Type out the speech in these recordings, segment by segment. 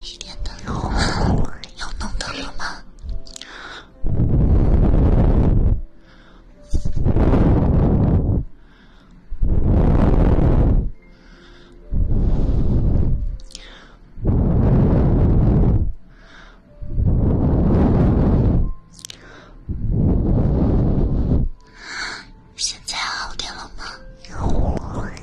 一点灯，火又弄到了吗？现在好点了吗？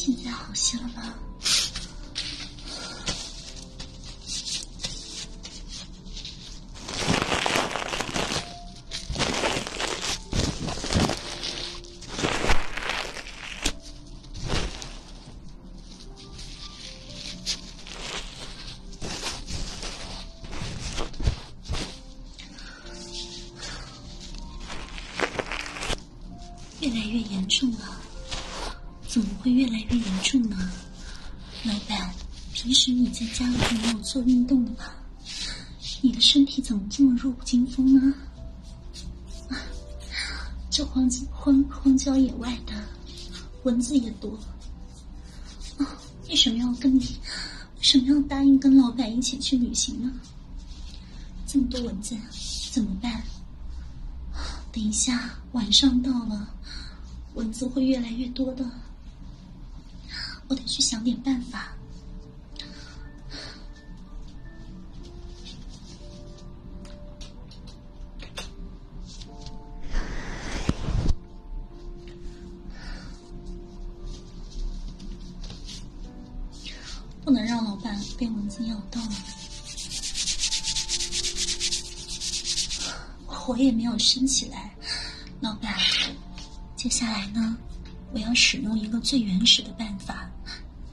现在好些了吗？越来越严重了，怎么会越来越严重呢？老板，平时你在家里没有做运动的吧？你的身体怎么这么弱不禁风呢？啊，这荒郊荒荒郊野外的，蚊子也多。啊，为什么要跟你？为什么要答应跟老板一起去旅行呢？这么多蚊子，怎么办？等一下，晚上到了，蚊子会越来越多的。我得去想点办法。不能让老板被蚊子咬到了，火也没有升起来。老板，接下来呢，我要使用一个最原始的办法，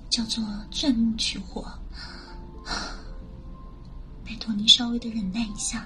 叫做钻木取火。拜托您稍微的忍耐一下。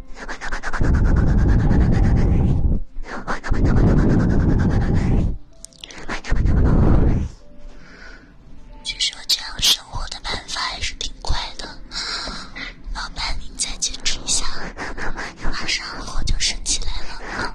据说这样生活的办法还是挺快的，老板您再坚持一下，马上火就升起来了。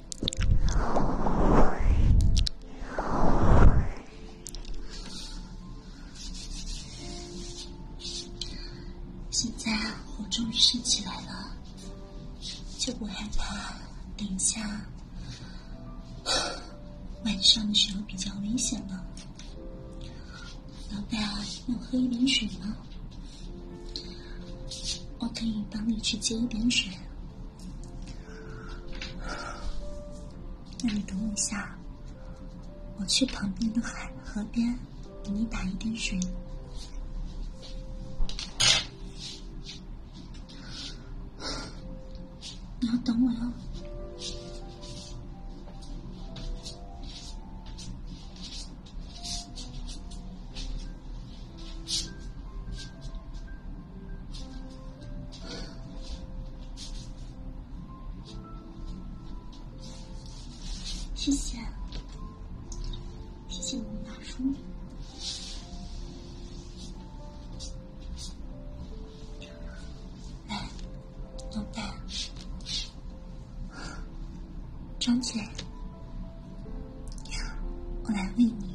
现在我终于升起来了，就不害怕等一下。晚上的时候比较危险了，老板，要喝一点水吗？我可以帮你去接一点水。那你等我一下，我去旁边的海河边给你打一点水，你要等我哟。谢谢，谢谢你们大叔。来，老板，张嘴，我来喂你。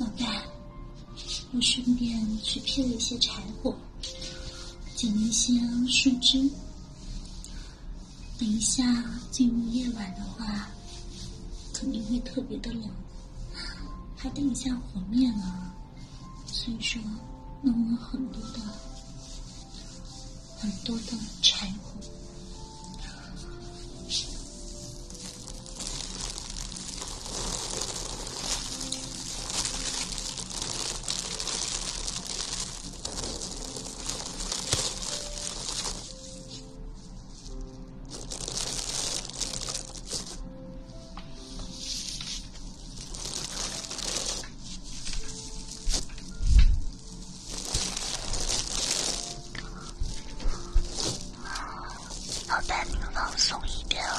老大，我顺便去劈了一些柴火，捡了一些树枝。等一下，进入夜晚的话，肯定会特别的冷，怕等一下火灭了，所以说弄了很多的很多的柴火。好吧，你们放松一点哦。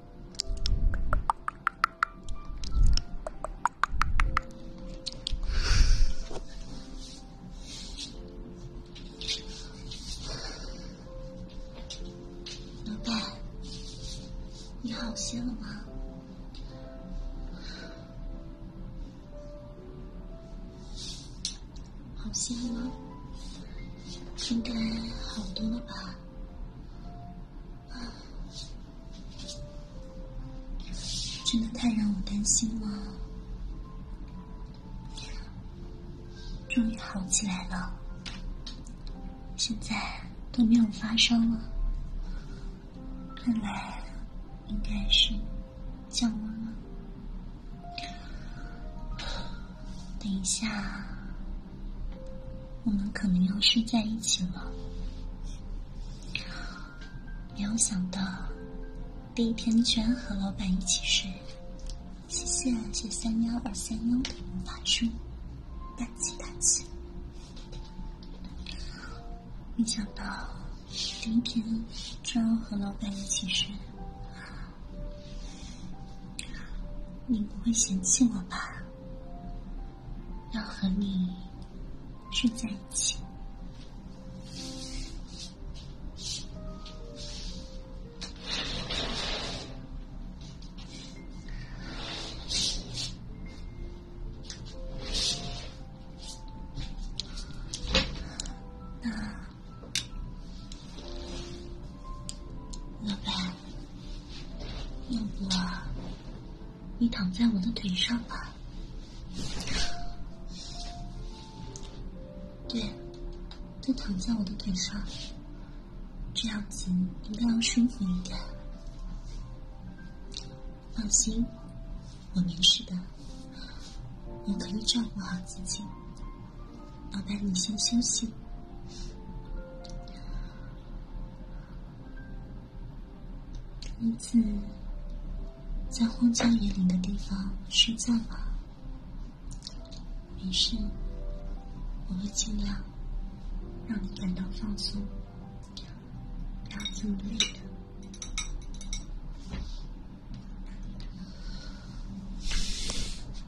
老板，你好些了吗？好些吗？应该好多了吧？真的太让我担心了，终于好起来了，现在都没有发烧了，看来应该是降温了。等一下，我们可能要睡在一起了。没有想到，第一天居然和老板一起睡。谢谢谢谢三幺二三幺的魔法书，大气大气。没想到，第一天居然和老板一起睡。你不会嫌弃我吧？要和你睡在一起？老板，要不你躺在我的腿上吧？对，就躺在我的腿上，这样子应该要舒服一点。放心，我没事的，我可以照顾好自己。宝贝，你先休息。女子在荒郊野岭的地方睡觉吗？没事，我会尽量让你感到放松，不要这么累的。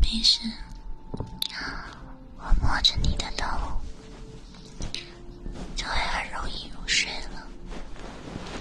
没事，我摸着你的头，就会很容易入睡了。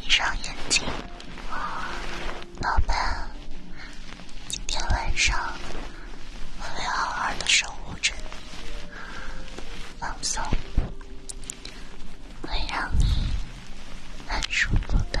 闭上眼睛，老板，今天晚上我会好好的守护着你，放松，会让你很舒服的。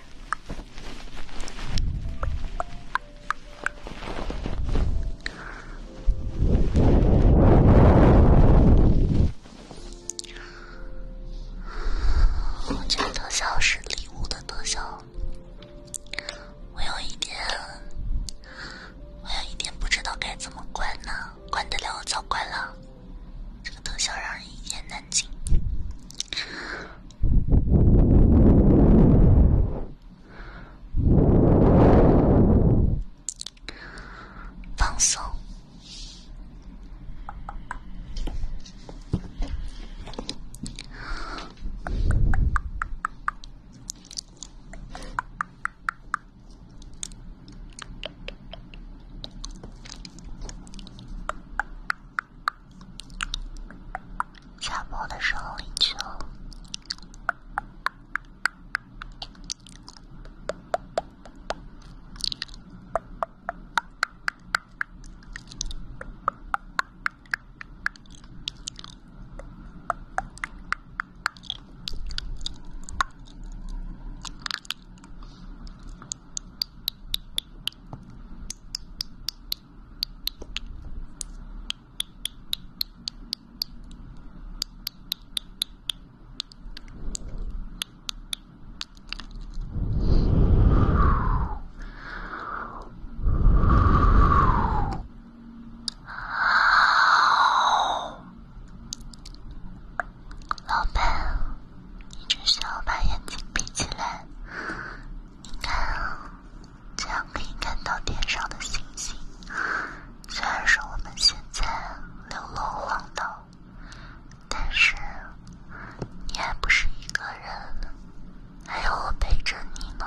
火箭特效是礼物的特效，我有一点，我有一点不知道该怎么关呢？关得了我关了，这个特效让人一言难尽。放松。下播的时候领取哦。老板，你只需要把眼睛闭起来。你看，啊，这样可以看到天上的星星。虽然说我们现在流落荒岛，但是你还不是一个人，还有我陪着你呢。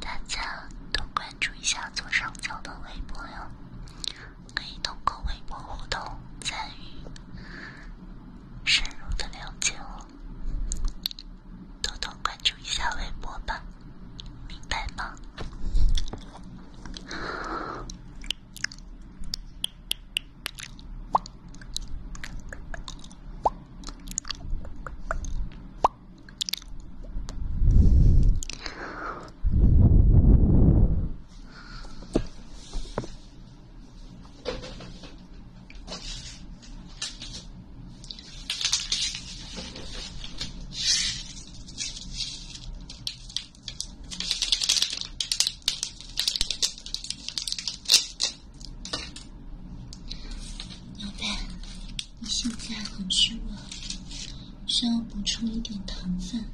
大家多关注一下左上角的微博哟。可以通过微博互动、参与、深入的了解我，多多关注一下微博吧，明白吗？宝贝，你现在很虚弱，需要补充一点糖分。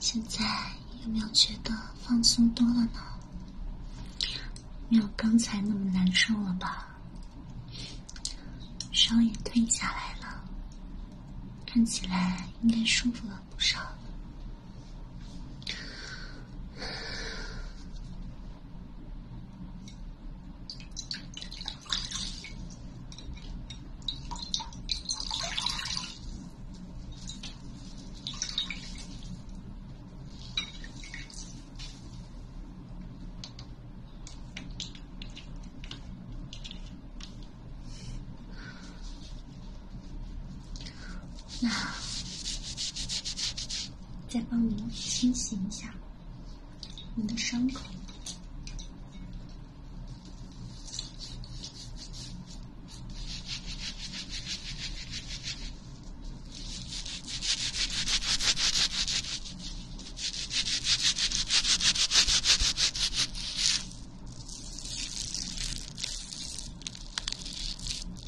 现在有没有觉得放松多了呢？没有刚才那么难受了吧？烧也退下来了，看起来应该舒服了。不少。那，再帮您清洗一下您的伤口。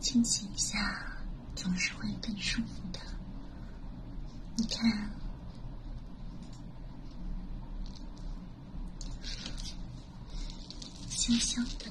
清洗一下，总是会更舒服的。你看，香香的。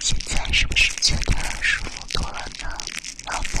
现在是不是觉得舒服多了呢，宝贝？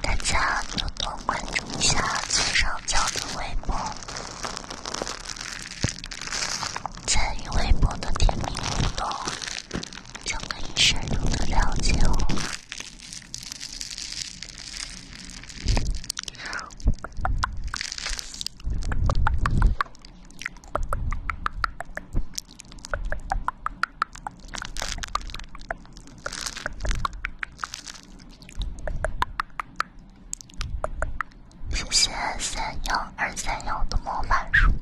大家多多关注一下左上角的微博，在与微博的甜蜜互动，就可以深入的了解我。谢谢三幺二三幺的魔法书，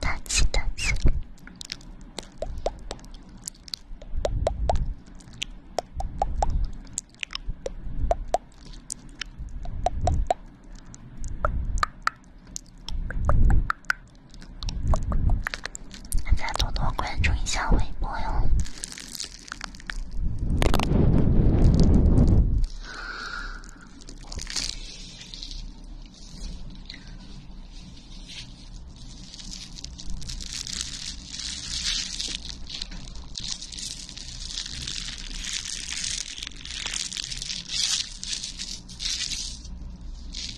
大家记得记。大家多多关注一下微博哟。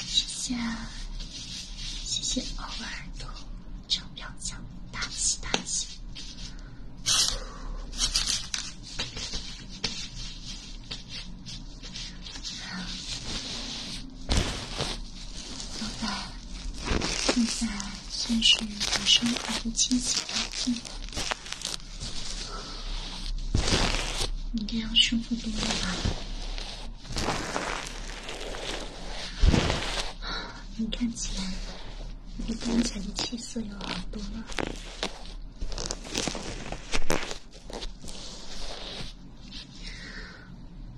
谢谢，谢谢偶尔的超表奖，大气大气。现在算是把生活和亲情打碎了，应该要舒服多了吧？你看起来比刚才的气色要好多了。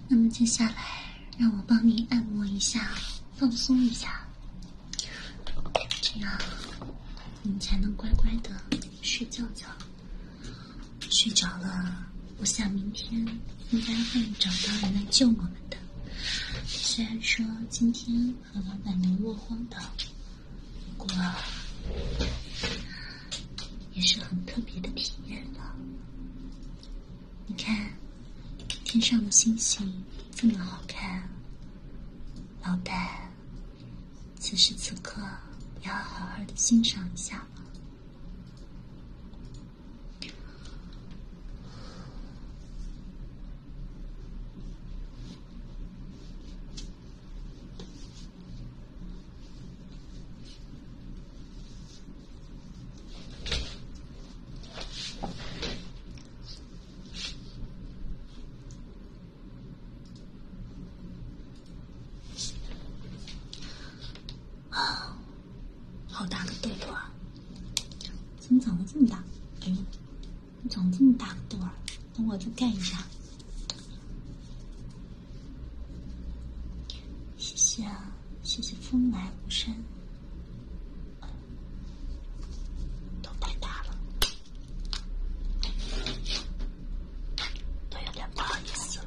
那么接下来，让我帮你按摩一下，放松一下，这样你才能乖乖的睡觉觉。睡着了，我想明天应该会找到人来救我们的。虽然说今天和老板娘落荒岛，过也是很特别的体验了。你看，天上的星星这么好看，老板，此时此刻要好好地欣赏一下。啊，好大的痘痘啊！怎么长了这么大？哎呦，长这么大个痘啊？等我就干一下。谢谢啊，谢谢风来无声。都太大了，都有点不好意思了。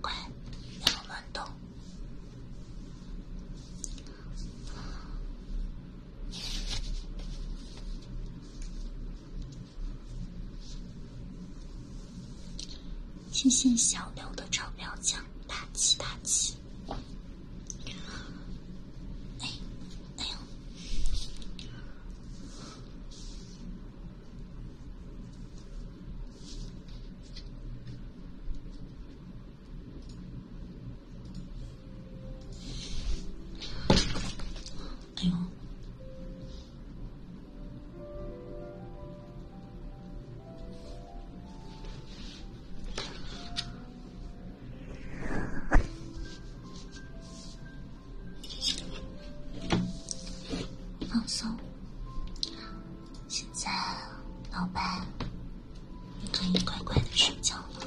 乖，不要乱动。谢谢小刘的钞票奖，大气大气。哎，哎呦。哎呦！放松。现在，老板，你可以乖乖的睡觉了。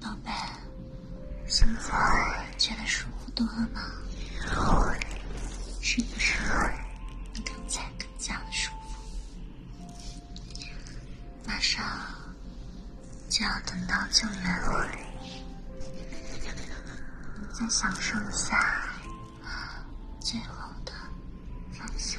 宝贝，现在觉得舒服多了吗？是不是？你刚才更加的舒服。马上就要等到救援了，再享受一下。最后的防线。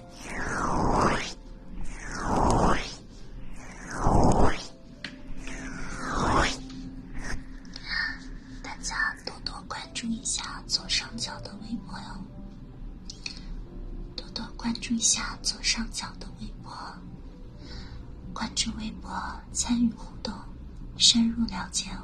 大家多多关注一下左上角的微博哟，多多关注一下左上角的微博，关注微博参与互动，深入了解哦。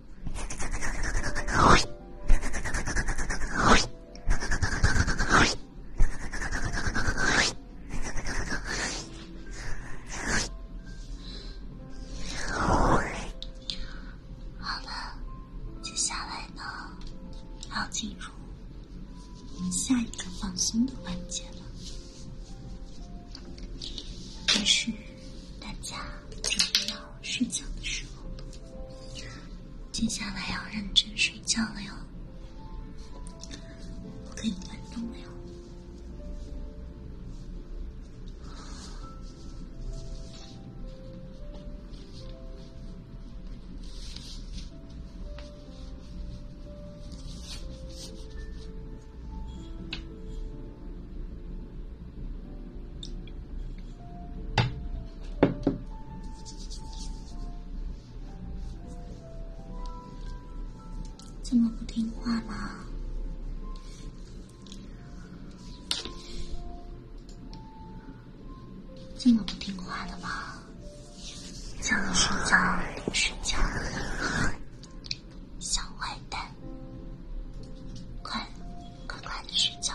好，了，接下来呢，要进入下一个放松的环节了，开始。大家准备要睡觉的时候，接下来要认真睡觉了哟。我给你们动了哟。这么不听话吗？这么不听话的吗？想睡觉，睡觉，小坏蛋。快，快快的睡觉。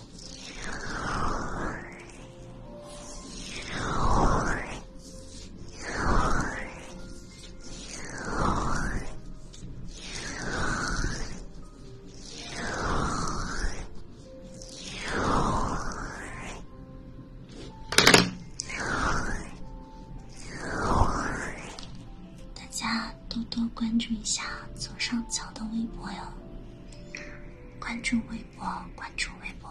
大家。多多关注一下左上角的微博哟。关注微博，关注微博。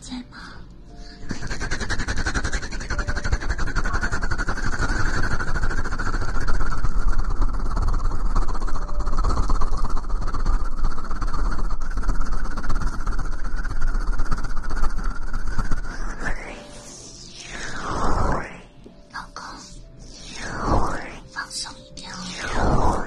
在吗，老公，放松一点哦。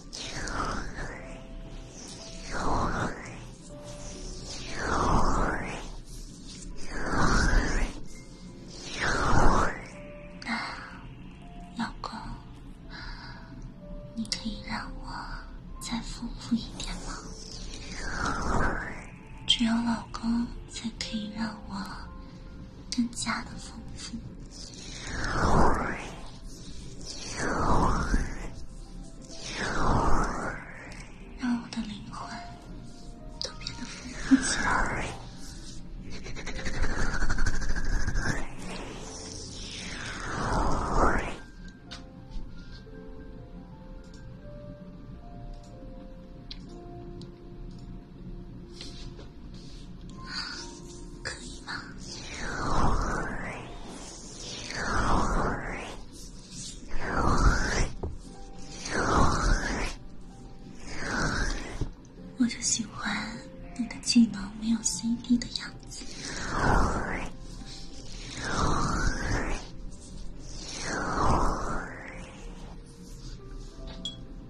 那，老公，你可以让我再丰富一点吗？只有老公才可以让我。更加的丰富，让我的灵魂都变得丰富起来。可以吗？我就喜欢你的技能没有 C D 的样子。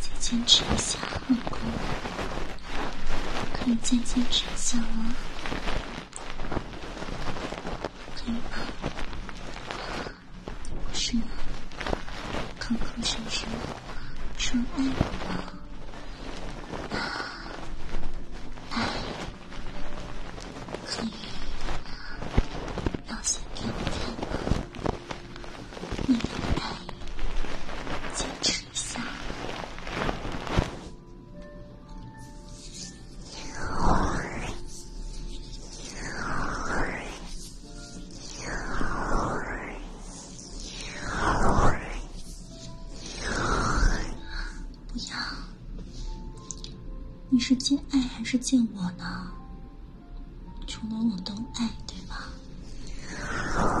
再坚持一下，老公。可以再坚持一下吗？可以吗？不是吗？口口声声说爱我，唉。可以吗？冒险给我看吗？你敢答应？坚持一下。幺二幺二幺二幺二。不要，你是见爱还是见我呢？除了我都爱，对吧？Thank 吗？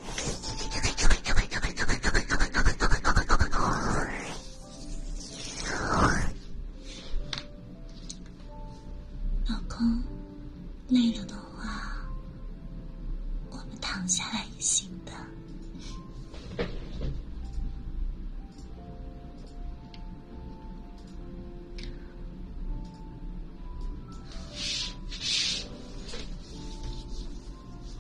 老公，累了的话，我们躺下来也行的。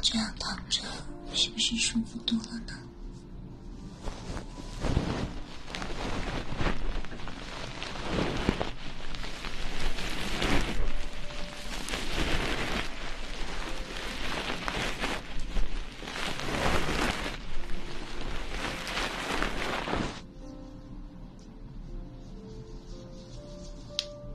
这样躺着是不是舒服多了呢？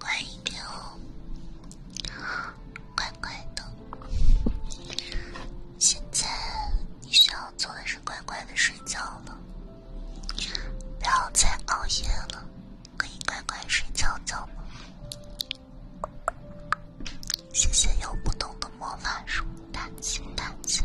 乖一点哦，乖乖的。现在你想。做的是乖乖的睡觉了，不要再熬夜了，可以乖乖睡觉觉吗？谢谢有不同的魔法书，蛋清蛋清。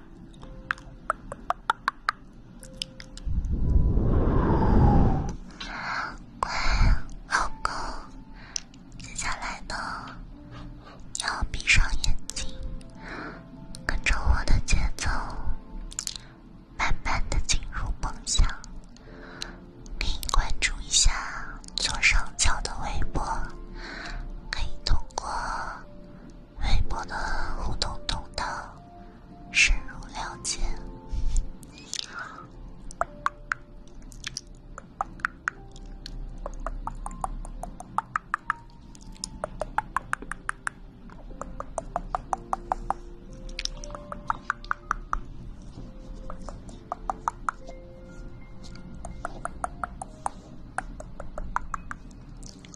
乖，老公，接下来的要闭上眼睛，跟着我的节奏，慢慢的进入梦乡。可以关注一下左上角的微博，可以通过。微博的互动通道，深入了解。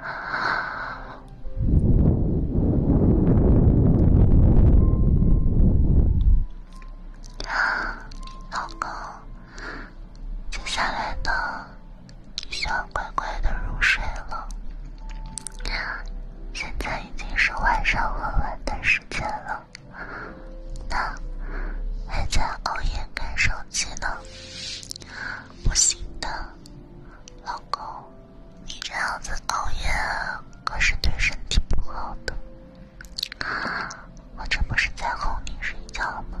啊。老公，接下来的需要乖乖的入睡了。现在已经是晚上很晚的时间了，那还在熬夜看手机呢？不行的，老公。你这样子熬夜可是对身体不好的，我这不是在哄你睡觉吗？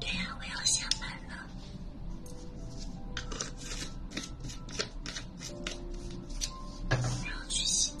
对呀，我要下班了，我要去洗。